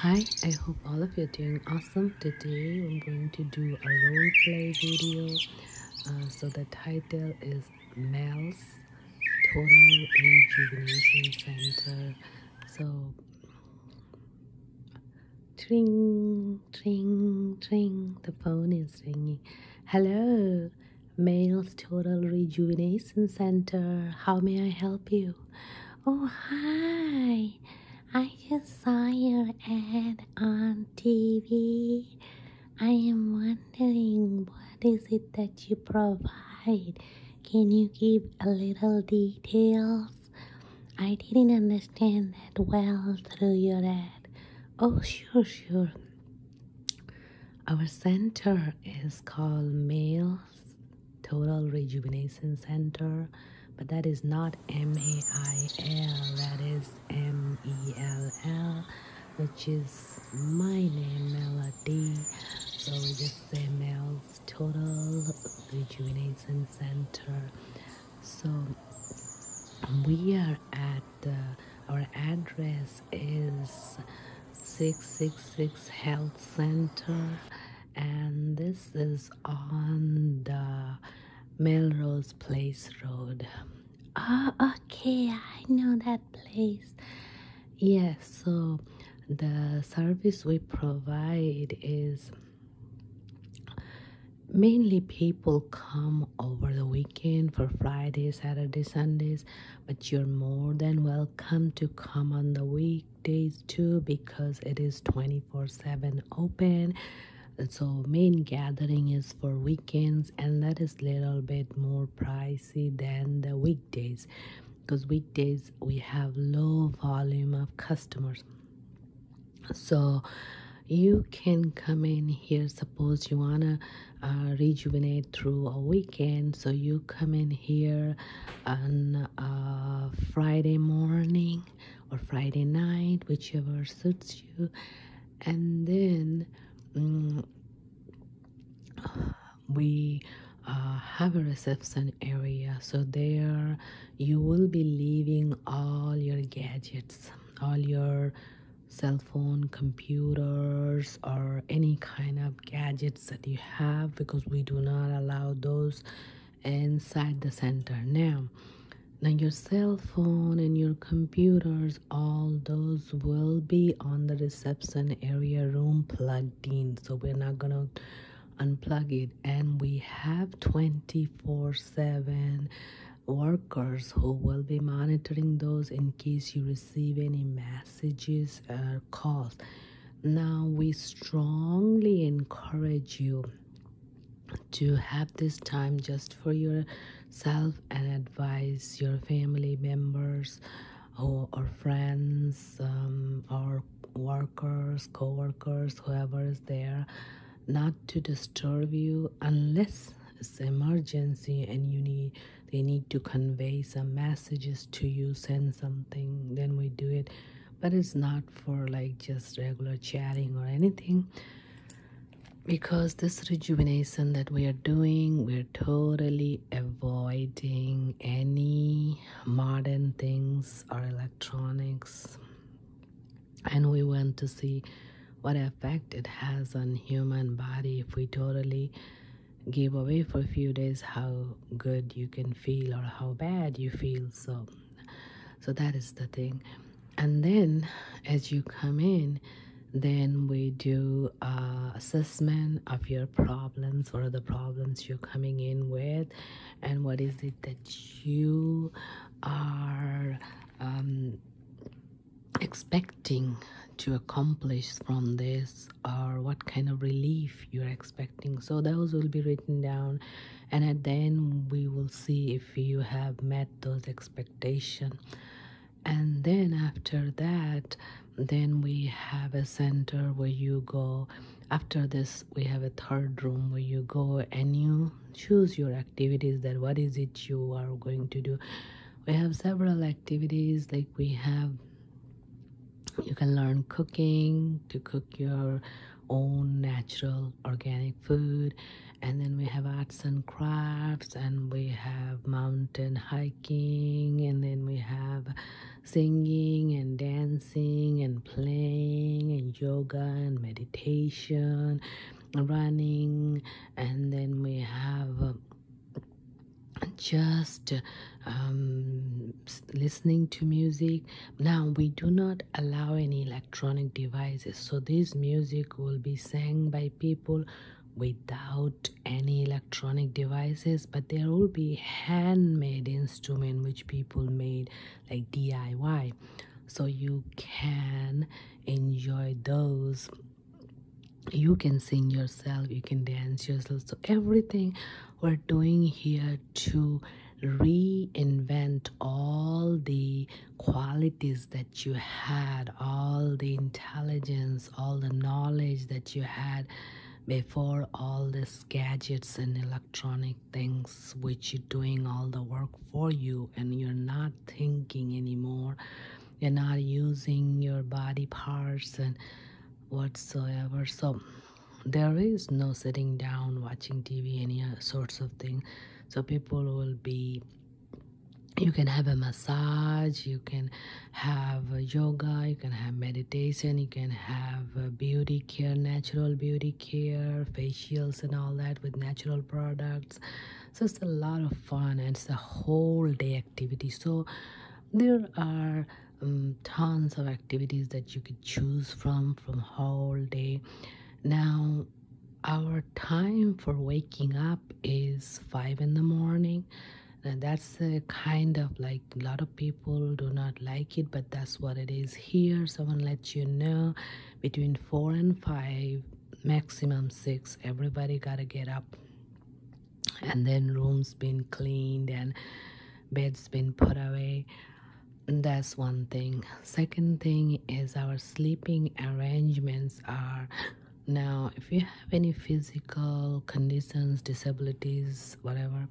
Hi, I hope all of you are doing awesome. Today I'm going to do a role play video. Uh, so the title is Mel's Total Rejuvenation Center. So, tring, tring, tring, the phone is ringing. Hello, Males Total Rejuvenation Center. How may I help you? Oh, hi. I just saw your ad on TV. I am wondering what is it that you provide? Can you give a little details? I didn't understand that well through your ad. Oh, sure, sure, our center is called Males Total Rejuvenation Center, but that is not M A I L, that is M E L L, which is my name, Melody. So we just say Males Total Rejuvenation Center. So we are at our address is 666 health center and this is on the melrose place road oh okay i know that place yes so the service we provide is mainly people come over the weekend for friday saturday sundays but you're more than welcome to come on the weekdays too because it is 24 7 open so main gathering is for weekends and that is little bit more pricey than the weekdays because weekdays we have low volume of customers so you can come in here suppose you want to uh, rejuvenate through a weekend so you come in here on uh, friday morning or friday night whichever suits you and then mm, we uh, have a reception area so there you will be leaving all your gadgets all your cell phone computers or any kind of gadgets that you have because we do not allow those inside the center now now your cell phone and your computers all those will be on the reception area room plugged in so we're not gonna unplug it and we have 24 7 workers who will be monitoring those in case you receive any messages or calls. Now, we strongly encourage you to have this time just for yourself and advise your family members or, or friends um, or workers, co workers, whoever is there not to disturb you unless it's emergency and you need they need to convey some messages to you send something then we do it but it's not for like just regular chatting or anything because this rejuvenation that we are doing we're totally avoiding any modern things or electronics and we want to see what effect it has on human body if we totally give away for a few days how good you can feel or how bad you feel so so that is the thing and then as you come in then we do uh, assessment of your problems or the problems you're coming in with and what is the that you are um, expecting to accomplish from this or what kind of relief you're expecting so those will be written down and at the end we will see if you have met those expectations and then after that then we have a center where you go after this we have a third room where you go and you choose your activities that what is it you are going to do we have several activities like we have you can learn cooking to cook your own natural organic food and then we have arts and crafts and we have mountain hiking and then we have singing and dancing and playing and yoga and meditation, running, and then we have. Um, just um, listening to music. Now, we do not allow any electronic devices, so this music will be sang by people without any electronic devices but there will be handmade instrument which people made like DIY. So you can enjoy those. You can sing yourself, you can dance yourself. So everything we're doing here to reinvent all the qualities that you had, all the intelligence, all the knowledge that you had before all these gadgets and electronics things which are doing all the work for you and you're not thinking anymore you're not using your body parts and whatsoever so there is no sitting down watching tv any uh, sorts of thing so people will be you can have a massage you can have uh, yoga you can have meditation you can have uh, beauty care natural beauty care facials and all that with natural products so it's a lot of fun and it's a whole day activity so there are um, tons of activities that you could choose from from whole day now our time for waking up is five in the morning and that's a kind of like a lot of people do not like it but that's what it is here someone let you know between four and five maximum six everybody gotta get up and then rooms been cleaned and beds been put away that's one thing second thing is our sleeping arrangements are now if you have any physical conditions disabilities whatever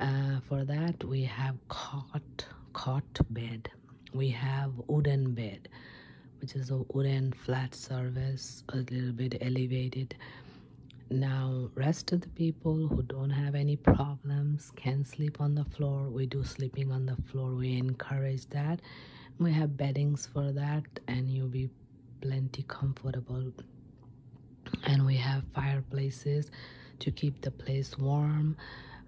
uh, for that we have cot cot bed we have wooden bed which is a wooden flat surface a little bit elevated now rest of the people who don't have any problems can sleep on the floor we do sleeping on the floor we encourage that we have beddings for that and you'll be plenty comfortable and we have fireplaces to keep the place warm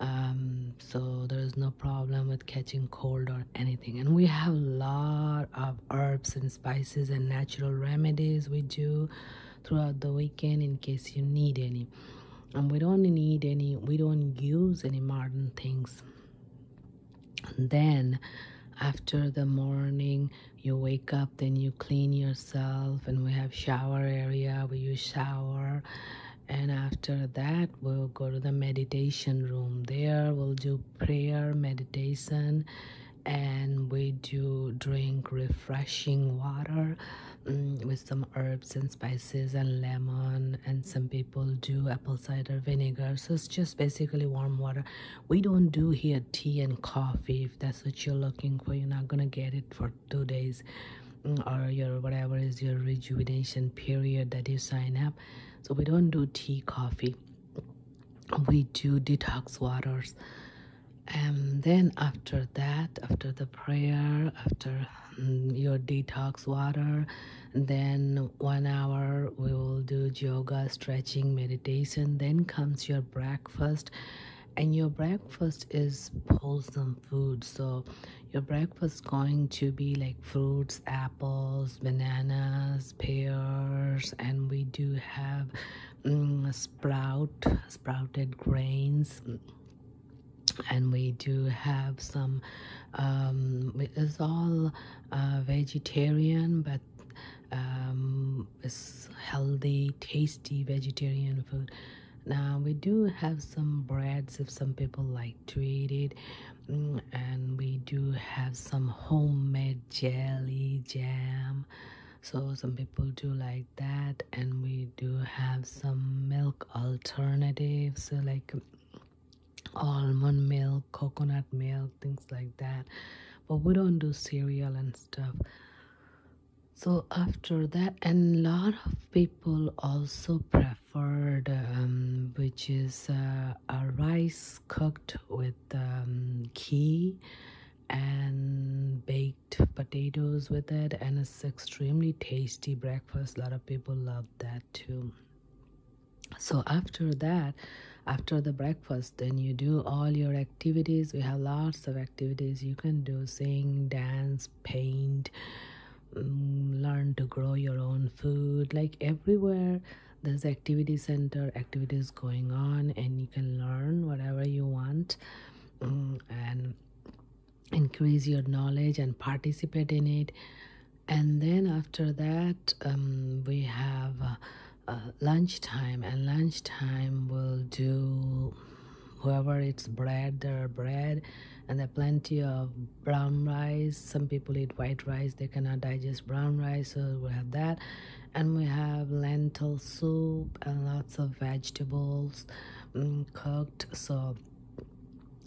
um, so there's no problem with catching cold or anything and we have a lot of herbs and spices and natural remedies we do throughout the weekend in case you need any and we don't need any we don't use any modern things and then after the morning you wake up then you clean yourself and we have shower area where you shower and after that we'll go to the meditation room there we'll do prayer meditation and we do drink refreshing water mm, with some herbs and spices and lemon and some people do apple cider vinegar so it's just basically warm water we don't do here tea and coffee if that's what you're looking for you're not gonna get it for two days mm, or your whatever is your rejuvenation period that you sign up so we don't do tea coffee we do detox waters and then after that after the prayer after mm, your detox water then one hour we will do yoga stretching meditation then comes your breakfast and your breakfast is wholesome food so your breakfast going to be like fruits apples bananas pears and we do have mm, sprout sprouted grains and we do have some um, it's all uh, vegetarian but um, this healthy, tasty vegetarian food. Now we do have some breads if some people like to eat it, mm, and we do have some homemade jelly jam. So some people do like that, and we do have some milk alternatives so like almond milk, coconut milk, things like that. But we don't do cereal and stuff so after that and a lot of people also preferred um, which is uh, a rice cooked with um, ghee and baked potatoes with it and it's extremely tasty breakfast a lot of people love that too so after that after the breakfast then you do all your activities we have lots of activities you can do sing dance paint mm, learn to grow your own food like everywhere there's activity center activities going on and you can learn whatever you want mm, and increase your knowledge and participate in it and then after that um, we have uh, uh, lunchtime and lunchtime we'll do whoever it's bread there bread and there plenty of brown rice some people eat white rice they cannot digest brown rice so we have that and we have lentil soup and lots of vegetables um, cooked so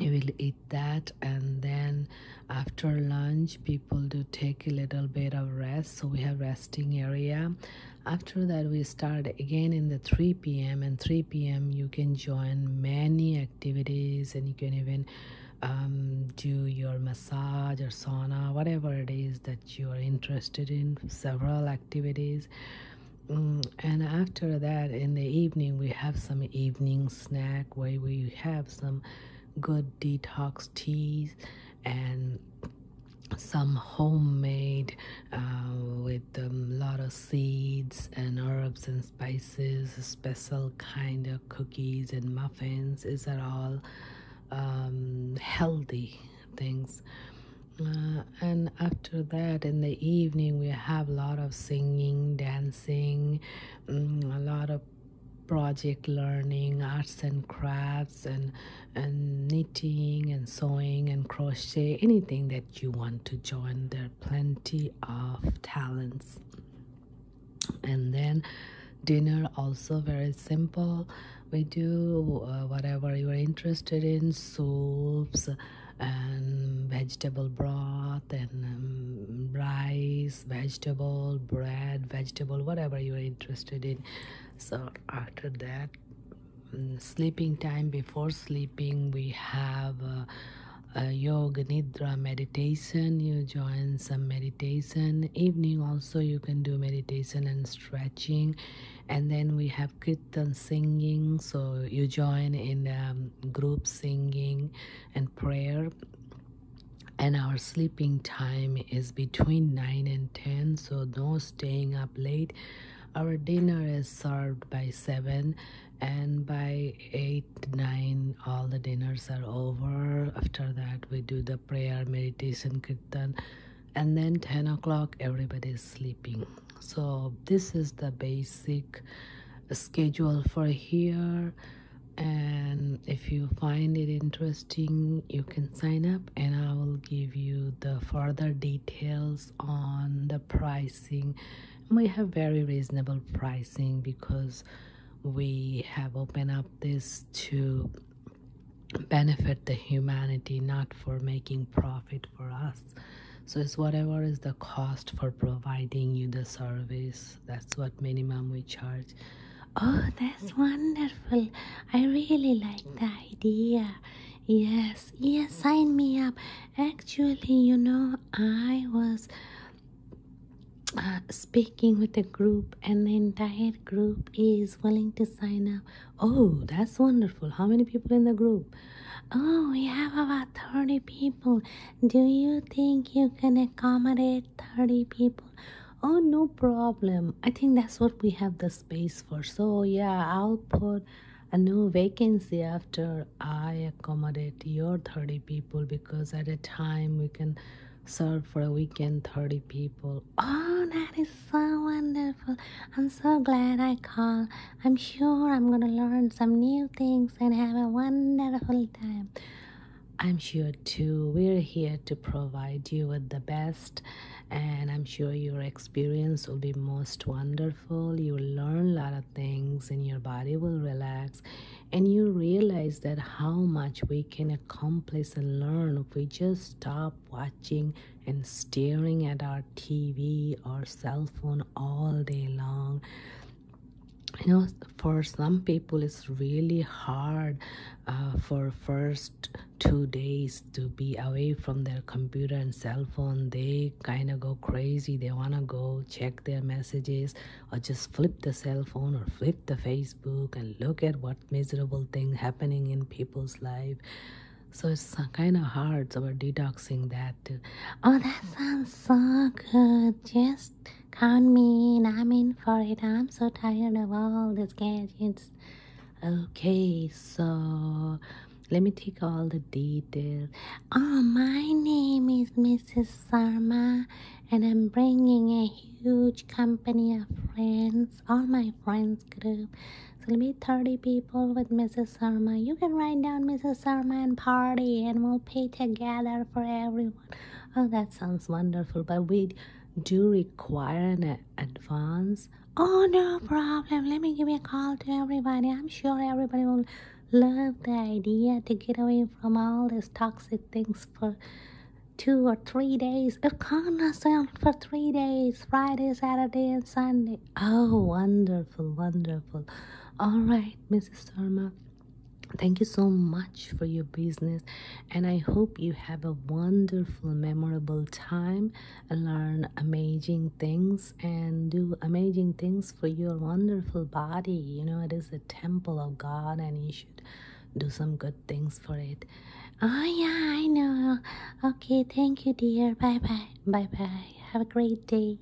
you will eat that and then after lunch people people to take a little bit of rest so we have resting area after that we start again in the 3 p.m and 3 p.m you can join many activities and you can even um, do your massage or sauna whatever it is that you are interested in several activities mm, and after that in the evening we have some evening snack where we have some good detox teas and some homemade uh, with a lot of seeds and herbs and spices special kind of cookies and muffins is are all um, healthy things uh, and after that in the evening we have a lot of singing dancing um, a lot of project learning, arts and crafts, and, and knitting and sewing and crochet, anything that you want to join. There are plenty of talents. And then dinner also very simple. We do uh, whatever you are interested in, soups and vegetable broth and um, rice vegetable bread vegetable whatever you are interested in so after that mm, sleeping time before sleeping we have uh, yoga nidra meditation you join some meditation evening also you can do meditation and stretching and then we have kirtan singing so you join in um, group singing and prayer and our sleeping time is between 9 and 10 so no staying up late our dinner is served by 7 and by 8 9 all the dinners are over after that we do the prayer meditation kirtan and then 10 o'clock everybody is sleeping so this is the basic schedule for here and if you find it interesting you can sign up and i will give you the further details on the pricing we have very reasonable pricing because we have opened up this to benefit the humanity not for making profit for us so it's whatever is the cost for providing you the service that's what minimum we charge. Oh, that's wonderful. I really like the idea. Yes, yes, sign me up. Actually, you know, I was uh, speaking with a group, and then that group is willing to sign up. Oh, that's wonderful. How many people in the group? Oh, we have about 30 people. Do you think you can accommodate 30 people? Oh, no problem. I think that's what we have the space for. So, yeah, I'll put a new vacancy after I accommodate your 30 people because at a time we can serve for a weekend 30 people. Oh, that is so wonderful. I'm so glad I called. I'm sure I'm going to learn some new things and have a wonderful time. I'm sure too. We're here to provide you with the best, and I'm sure your experience will be most wonderful. You'll learn a lot of things, and your body will relax, and you realize that how much we can accomplish and learn if we just stop watching and staring at our TV or cell phone all day long you know for some people it's really hard uh, for first two days to be away from their computer and cell phone they kind of go crazy they want to go check their messages or just flip the cell phone or flip the facebook and look at what miserable thing happening in people's life so it's kind of hard so we're detoxing that too oh that sounds so good just Count me in, I'm in for it. I'm so tired of all these gadgets. Okay, so let me take all the details. Oh, my name is Mrs. Sarma, and I'm bringing a huge company of friends, all my friends group. So let me 30 people with Mrs. Sarma. You can write down Mrs. Sarma and party, and we'll pay together for everyone. Oh, that sounds wonderful, but we do require an advance. Oh, no problem. Let me give a call to everybody. I'm sure everybody will love the idea to get away from all these toxic things for two or three days. It oh, comes for three days Friday, Saturday, and Sunday. Oh, wonderful, wonderful. All right, Mrs. Sharma. Thank you so much for your business, and I hope you have a wonderful, memorable time, learn amazing things, and do amazing things for your wonderful body. You know, it is the temple of God, and you should do some good things for it. Oh, yeah, I know. Okay, thank you, dear. Bye bye. Bye bye. Have a great day.